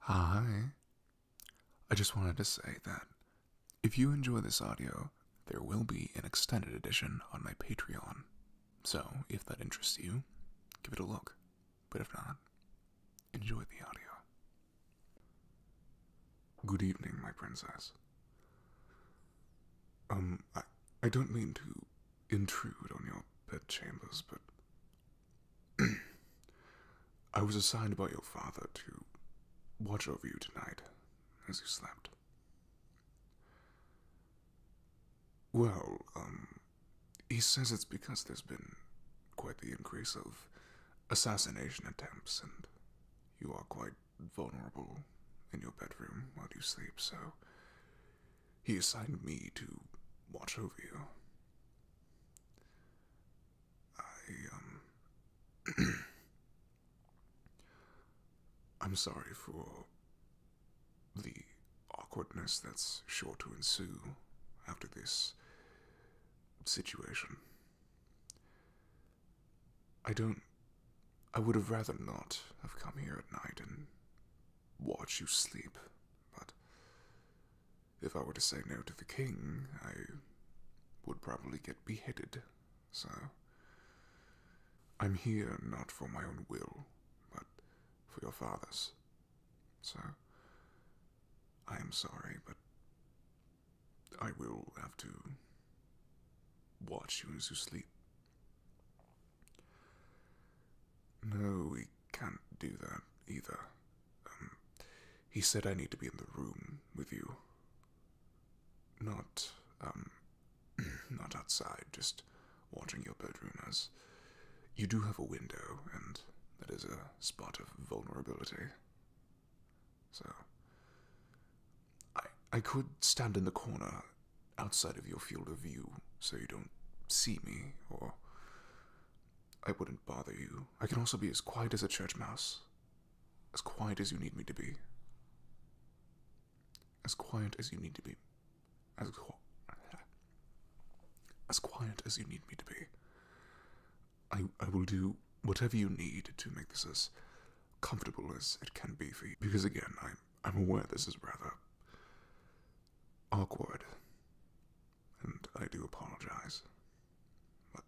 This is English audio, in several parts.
Hi. I just wanted to say that if you enjoy this audio, there will be an extended edition on my Patreon. So, if that interests you, give it a look. But if not, enjoy the audio. Good evening, my princess. Um, I, I don't mean to intrude on your bedchambers, but I was assigned by your father to watch over you tonight as you slept. Well, um, he says it's because there's been quite the increase of assassination attempts, and you are quite vulnerable in your bedroom while you sleep, so he assigned me to watch over you. I, um. I'm sorry for the awkwardness that's sure to ensue after this situation. I don't. I would have rather not have come here at night and watch you sleep, but if I were to say no to the king, I would probably get beheaded, so. I'm here not for my own will, but for your father's. So, I am sorry, but I will have to watch you as you sleep. No, we can't do that either. Um, he said I need to be in the room with you. Not, um, not outside, just watching your bedroom as you do have a window, and that is a spot of vulnerability. So, I, I could stand in the corner outside of your field of view so you don't see me, or I wouldn't bother you. I can also be as quiet as a church mouse. As quiet as you need me to be. As quiet as you need to be. As, as quiet as you need me to be. I, I will do whatever you need to make this as comfortable as it can be for you. Because again, I'm, I'm aware this is rather awkward and I do apologize. But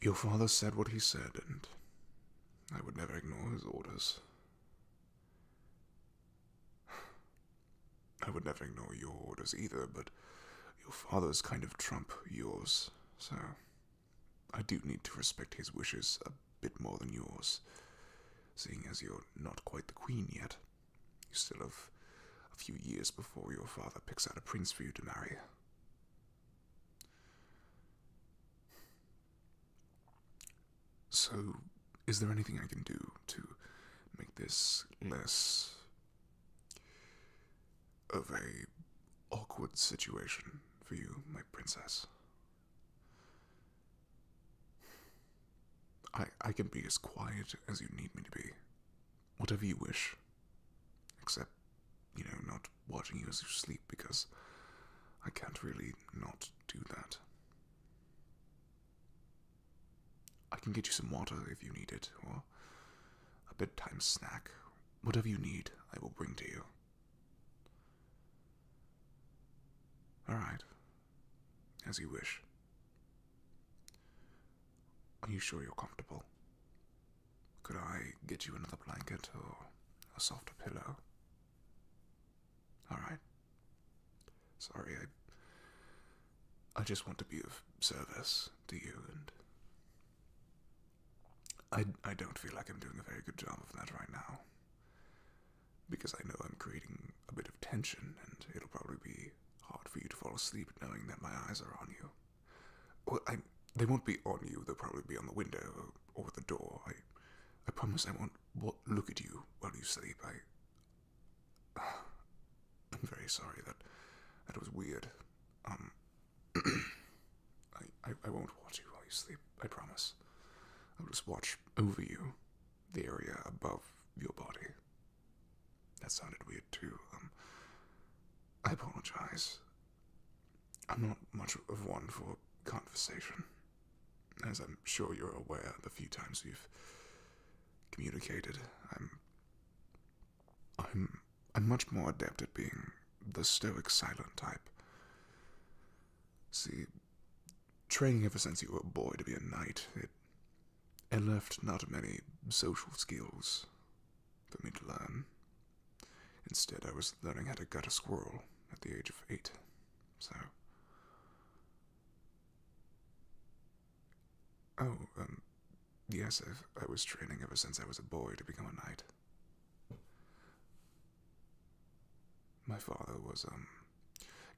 your father said what he said, and I would never ignore his orders. I would never ignore your orders either, but your father's kind of trump yours, so I do need to respect his wishes a bit more than yours, seeing as you're not quite the queen yet. You still have a few years before your father picks out a prince for you to marry. So, is there anything I can do to make this less of a awkward situation for you, my princess? I, can be as quiet as you need me to be. Whatever you wish. Except, you know, not watching you as you sleep because I can't really not do that. I can get you some water if you need it, or a bedtime snack. Whatever you need, I will bring to you. Alright. As you wish. Are you sure you're comfortable? Could I get you another blanket or a softer pillow? Alright. Sorry, I. I just want to be of service to you, and. I, I don't feel like I'm doing a very good job of that right now. Because I know I'm creating a bit of tension, and it'll probably be hard for you to fall asleep knowing that my eyes are on you. Well, I, they won't be on you, they'll probably be on the window or, the door. I, I promise I won't look at you while you sleep. I. am very sorry that that was weird. Um. I, I won't watch you while you sleep, I promise. I'll just watch over you, the area above your body. That sounded weird too. Um, I apologize. I'm not much of one for conversation. As I'm sure you're aware, the few times we've communicated, I'm. I'm. I'm much more adept at being the stoic silent type. See, training ever since you were a boy to be a knight, it I left not many social skills for me to learn. Instead, I was learning how to gut a squirrel at the age of eight. So. Oh, um, yes, i I was training ever since I was a boy to become a knight. My father was, um,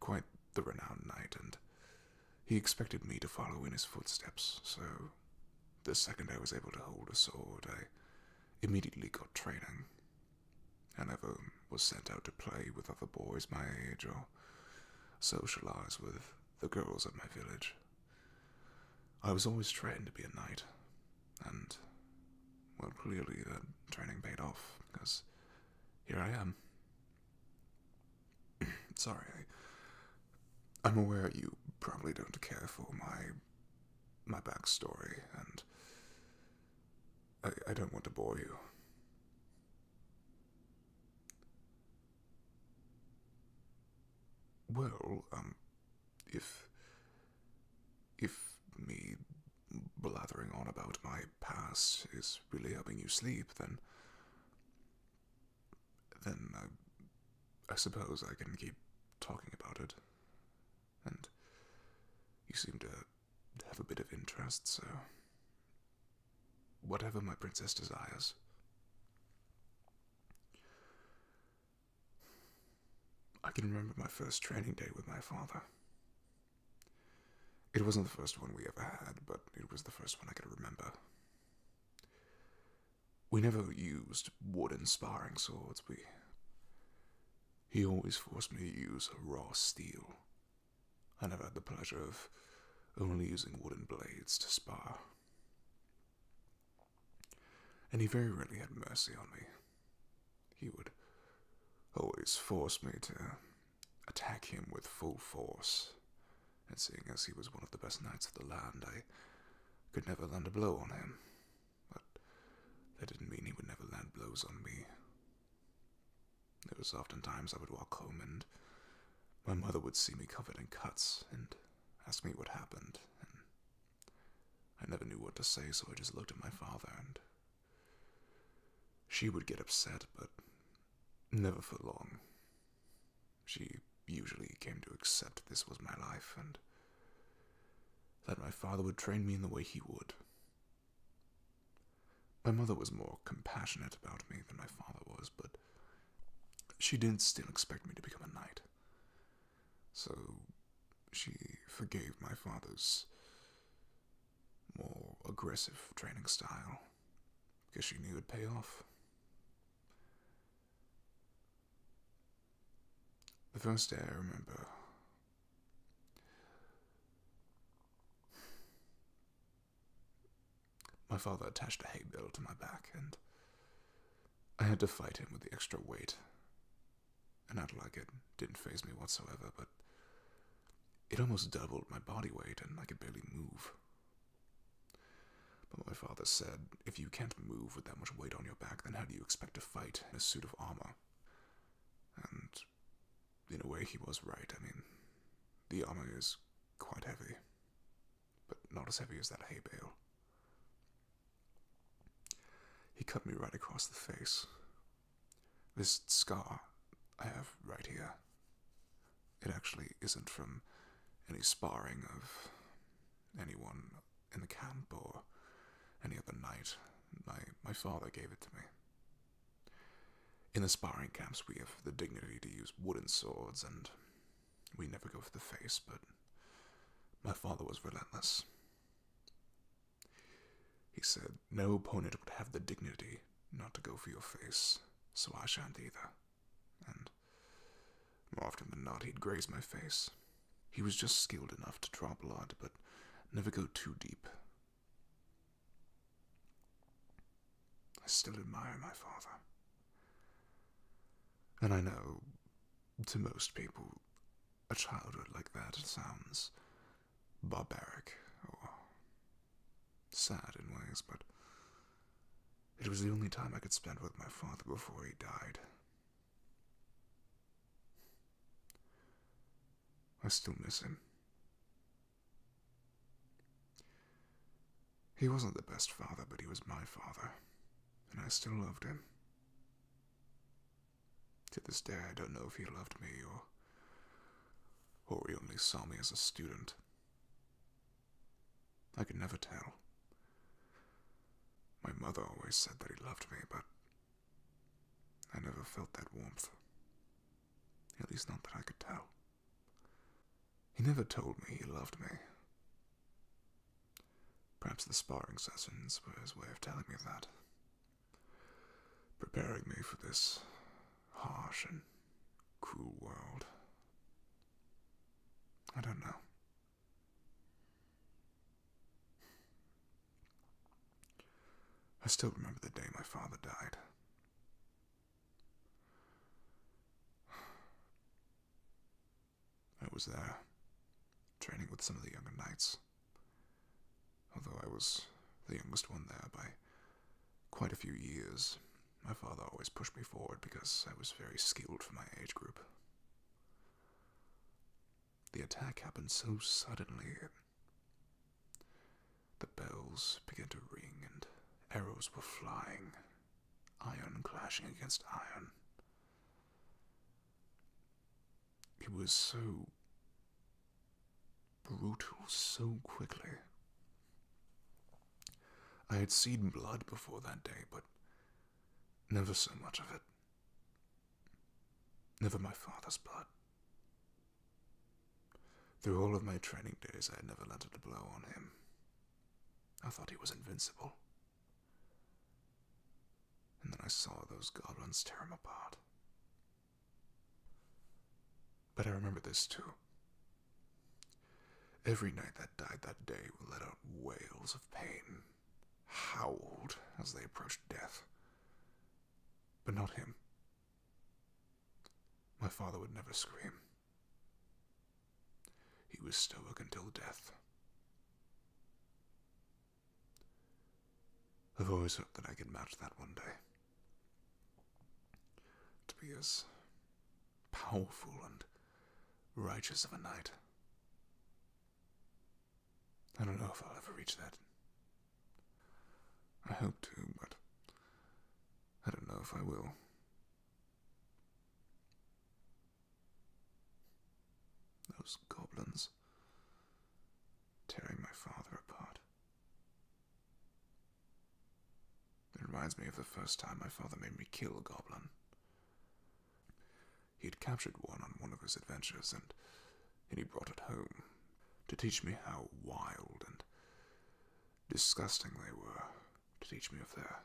quite the renowned knight, and he expected me to follow in his footsteps, so the second I was able to hold a sword, I immediately got training. I never was sent out to play with other boys my age or socialize with the girls of my village. I was always trained to be a knight, and, well, clearly that training paid off, because here I am. Sorry, I, I'm aware you probably don't care for my my backstory, and I, don't want to bore you. Well, um, if if me blathering on about my past is really helping you sleep, then then I, I suppose I can keep talking about it. And you seem to have a bit of interest, so. Whatever my princess desires. I can remember my first training day with my father. It wasn't the first one we ever had, but it was the first one I could remember, we never used wooden sparring swords. We. He always forced me to use raw steel. I never had the pleasure of only using wooden blades to spar. And he very rarely had mercy on me. He would always force me to attack him with full force. And seeing as he was one of the best knights of the land, I could never land a blow on him. But that didn't mean he would never land blows on me. There was often times I would walk home and my mother would see me covered in cuts and ask me what happened. And I never knew what to say, so I just looked at my father and she would get upset, but never for long. She usually came to accept this was my life and that my father would train me in the way he would. My mother was more compassionate about me than my father was, but she did not still expect me to become a knight. So she forgave my father's more aggressive training style. Because she knew it would pay off. The first day I remember. My father attached a hay bale to my back, and I had to fight him with the extra weight. And not like it didn't phase me whatsoever, but it almost doubled my body weight, and I could barely move. But my father said, If you can't move with that much weight on your back, then how do you expect to fight in a suit of armor? And in a way, he was right. I mean, the armor is quite heavy, but not as heavy as that hay bale. He cut me right across the face. This scar I have right here it actually isn't from any sparring of anyone in the camp or any other night. My, my father gave it to me. In the sparring camps, we have the dignity to use wooden swords, and we never go for the face, but my father was relentless. He said, No opponent would have the dignity not to go for your face, so I shan't either and more often than not, he'd graze my face. He was just skilled enough to draw blood, but never go too deep. I still admire my father. And I know, to most people, a childhood like that sounds barbaric Sad in ways, but it was the only time I could spend with my father before he died. I still miss him. He wasn't the best father, but he was my father, and I still loved him. To this day, I don't know if he loved me or, or he only saw me as a student. I could never tell. My mother always said that he loved me, but I never felt that warmth. At least not that I could tell. He never told me he loved me. Perhaps the sparring sessions were his way of telling me that. Preparing me for this harsh and Cool world. I don't know. I still remember the day my father died. I was there, training with some of the younger knights, although I was the youngest one there by quite a few years my father always pushed me forward because I was very skilled for my age group. The attack happened so suddenly. The bells began to ring and arrows were flying, iron clashing against iron. It was so brutal so quickly. I had seen blood before that day, but never so much of it. Never my father's blood. Through all of my training days, I had never landed a blow on him. I thought he was invincible. And then I saw those goblins tear him apart. But I remember this too. Every knight that died that day let out wails of pain, howled as they approached death. But not him. My father would never scream. He was stoic until death. I've always hoped that I could match that one day. To be as powerful and righteous of a knight. I don't know if I'll ever reach that. I hope to, but I don't know if I will. Those goblins tearing my father apart. It reminds me of the first time my father made me kill a goblin. He had captured one on one of his adventures, and, he brought it home to teach me how wild and disgusting they were, to teach me of their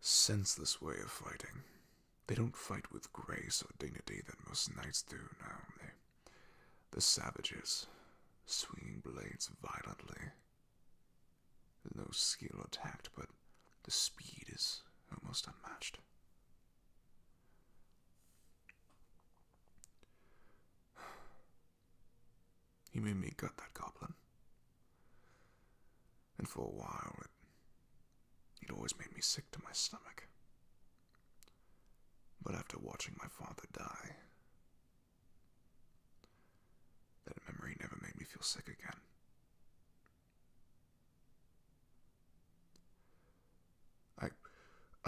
senseless way of fighting. They don't fight with grace or dignity that most knights do now. They, the savages, swinging blades violently, no skill or tact, but the speed is almost unmatched. He made me gut that goblin. And for a while, it always made me sick to my stomach. But after watching my father die, that memory never made me feel sick again. I,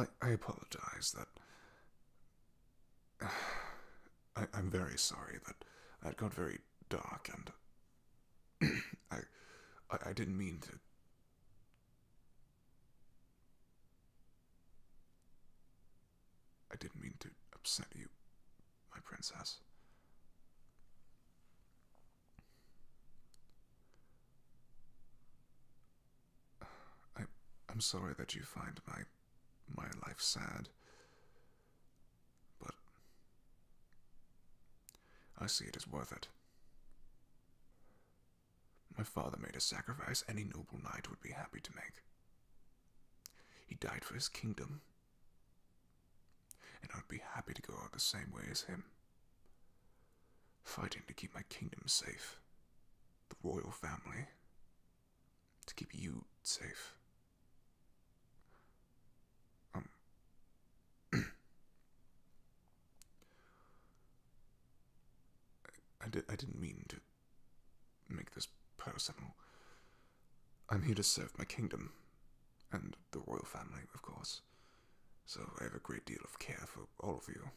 I, I apologize that. I, I'm very sorry that that got very dark and I, I, I didn't mean to. I didn't mean to upset you, my princess. I, am sorry that you find my, my life sad, but I see it is worth it. My father made a sacrifice any noble knight would be happy to make. He died for his kingdom. And I'd be happy to go out the same way as him. Fighting to keep my kingdom safe, the royal family, to keep you safe. Um. I, di- I didn't mean to make this personal. I'm here to serve my kingdom, and the royal family, of course. So I have a great deal of care for all of you.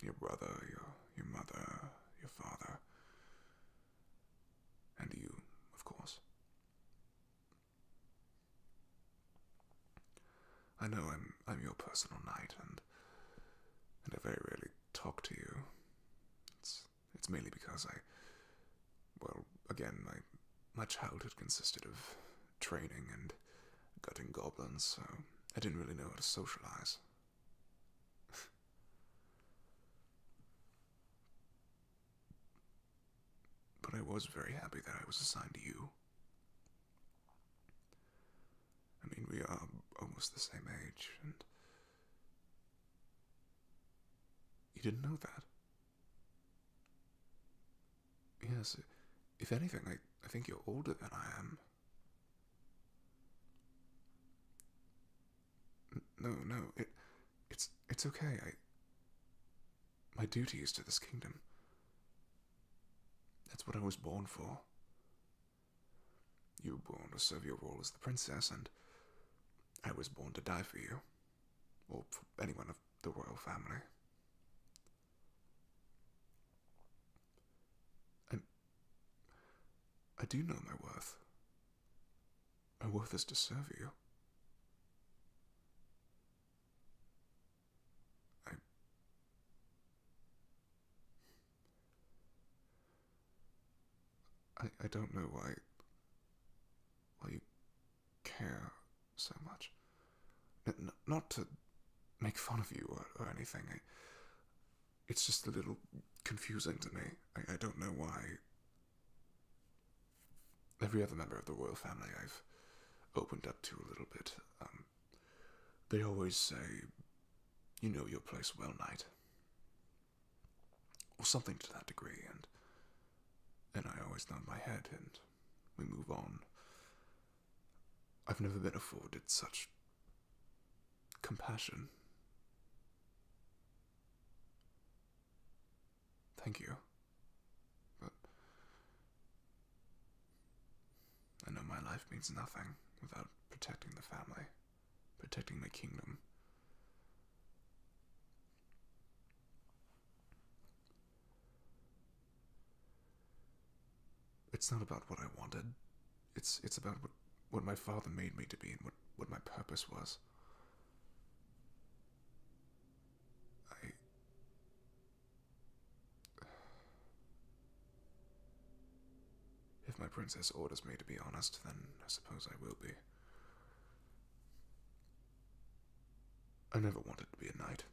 Your brother, your, your mother, your father, and you, of course. I know I'm, I'm your personal knight, and, and I very rarely talk to you. It's mainly because I, well, again, my, my childhood consisted of training and gutting goblins, so I didn't really know how to socialize. but I was very happy that I was assigned to you. I mean, we are almost the same age, and you didn't know that? Yes, if anything, I, I think you're older than I am. No, no, it, it's, it's okay. I, my duty is to this kingdom. That's what I was born for. You were born to serve your role as the princess, and I was born to die for you, or for anyone of the royal family. I do know my worth. My worth is to serve you. I. I, I don't know why why you care so much. not to make fun of you or, anything. it's just a little confusing to me. I, don't know why. Every other member of the royal family I've opened up to a little bit. Um, they always say, You know your place well, knight or something to that degree, and then I always nod my head and we move on. I've never been afforded such compassion. Thank you. But I know my life means nothing without protecting the family protecting my kingdom. It's not about what I wanted. It's it's about what, what my father made me to be and what, what my purpose was. I If my princess orders me to be honest, then I suppose I will be. I never wanted to be a knight.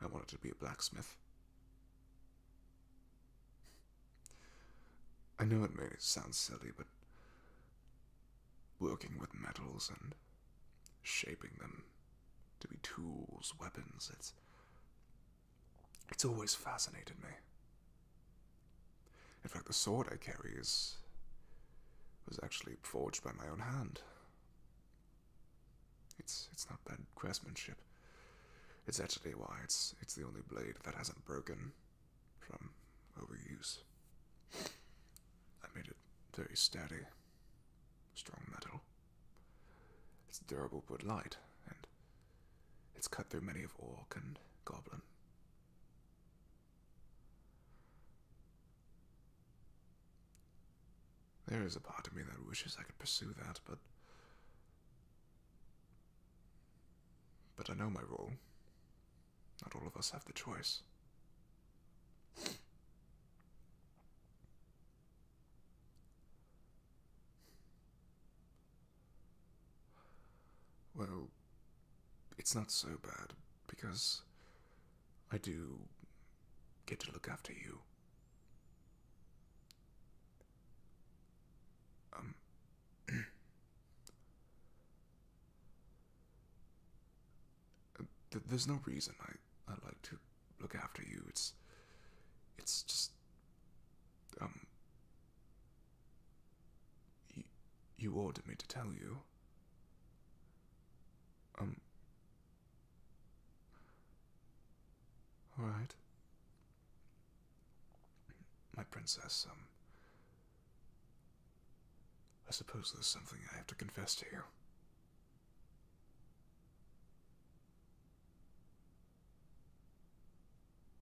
I wanted to be a blacksmith. I know it may sound silly, but working with metals and shaping them to be tools, weapons, it's it's always fascinated me. In fact, the sword I carry is. was actually forged by my own hand. It's, it's not bad craftsmanship. It's actually why it's, it's the only blade that hasn't broken from overuse. I made it very sturdy, strong metal. It's durable but light, and it's cut through many of orc and goblin. There is a part of me that wishes I could pursue that, but. But I know my role. Not all of us have the choice. Well, it's not so bad because I do get to look after you. Um. Uh, there's no reason I, I like to look after you. It's. It's just. Um. You, you ordered me to tell you. Um. Alright. My princess, um. I suppose there's something I have to confess to you.